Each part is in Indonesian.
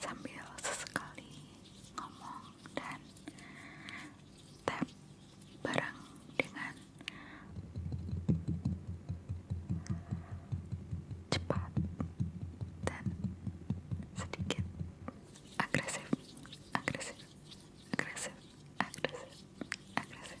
sambil sesekali ngomong dan tap barang dengan cepat dan sedikit agresif agresif agresif agresif agresif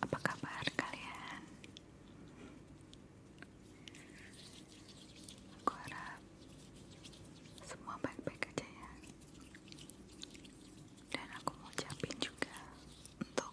Apa kabar kalian? Aku harap semua baik-baik aja ya. Dan aku mau ucapin juga untuk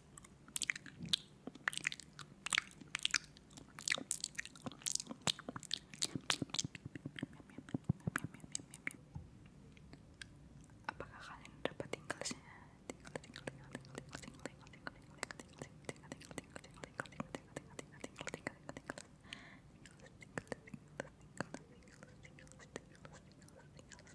Apakah kalian dapat tinggalnya? Tinggal, tinggal, tinggal, tinggal, tinggal, tinggal, tinggal, tinggal, tinggal, tinggal, tinggal, tinggal, tinggal, tinggal, tinggal,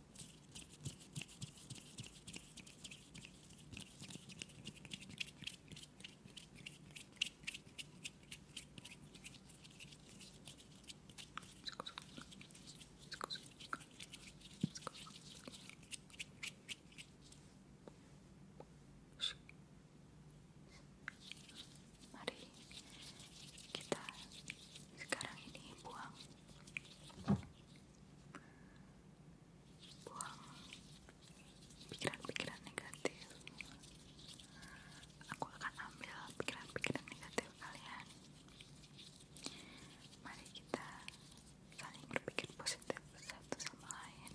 Mari kita sekarang ini buang buang pikiran-pikiran negatif aku akan ambil pikiran-pikiran negatif kalian mari kita saling berpikir positif satu sama lain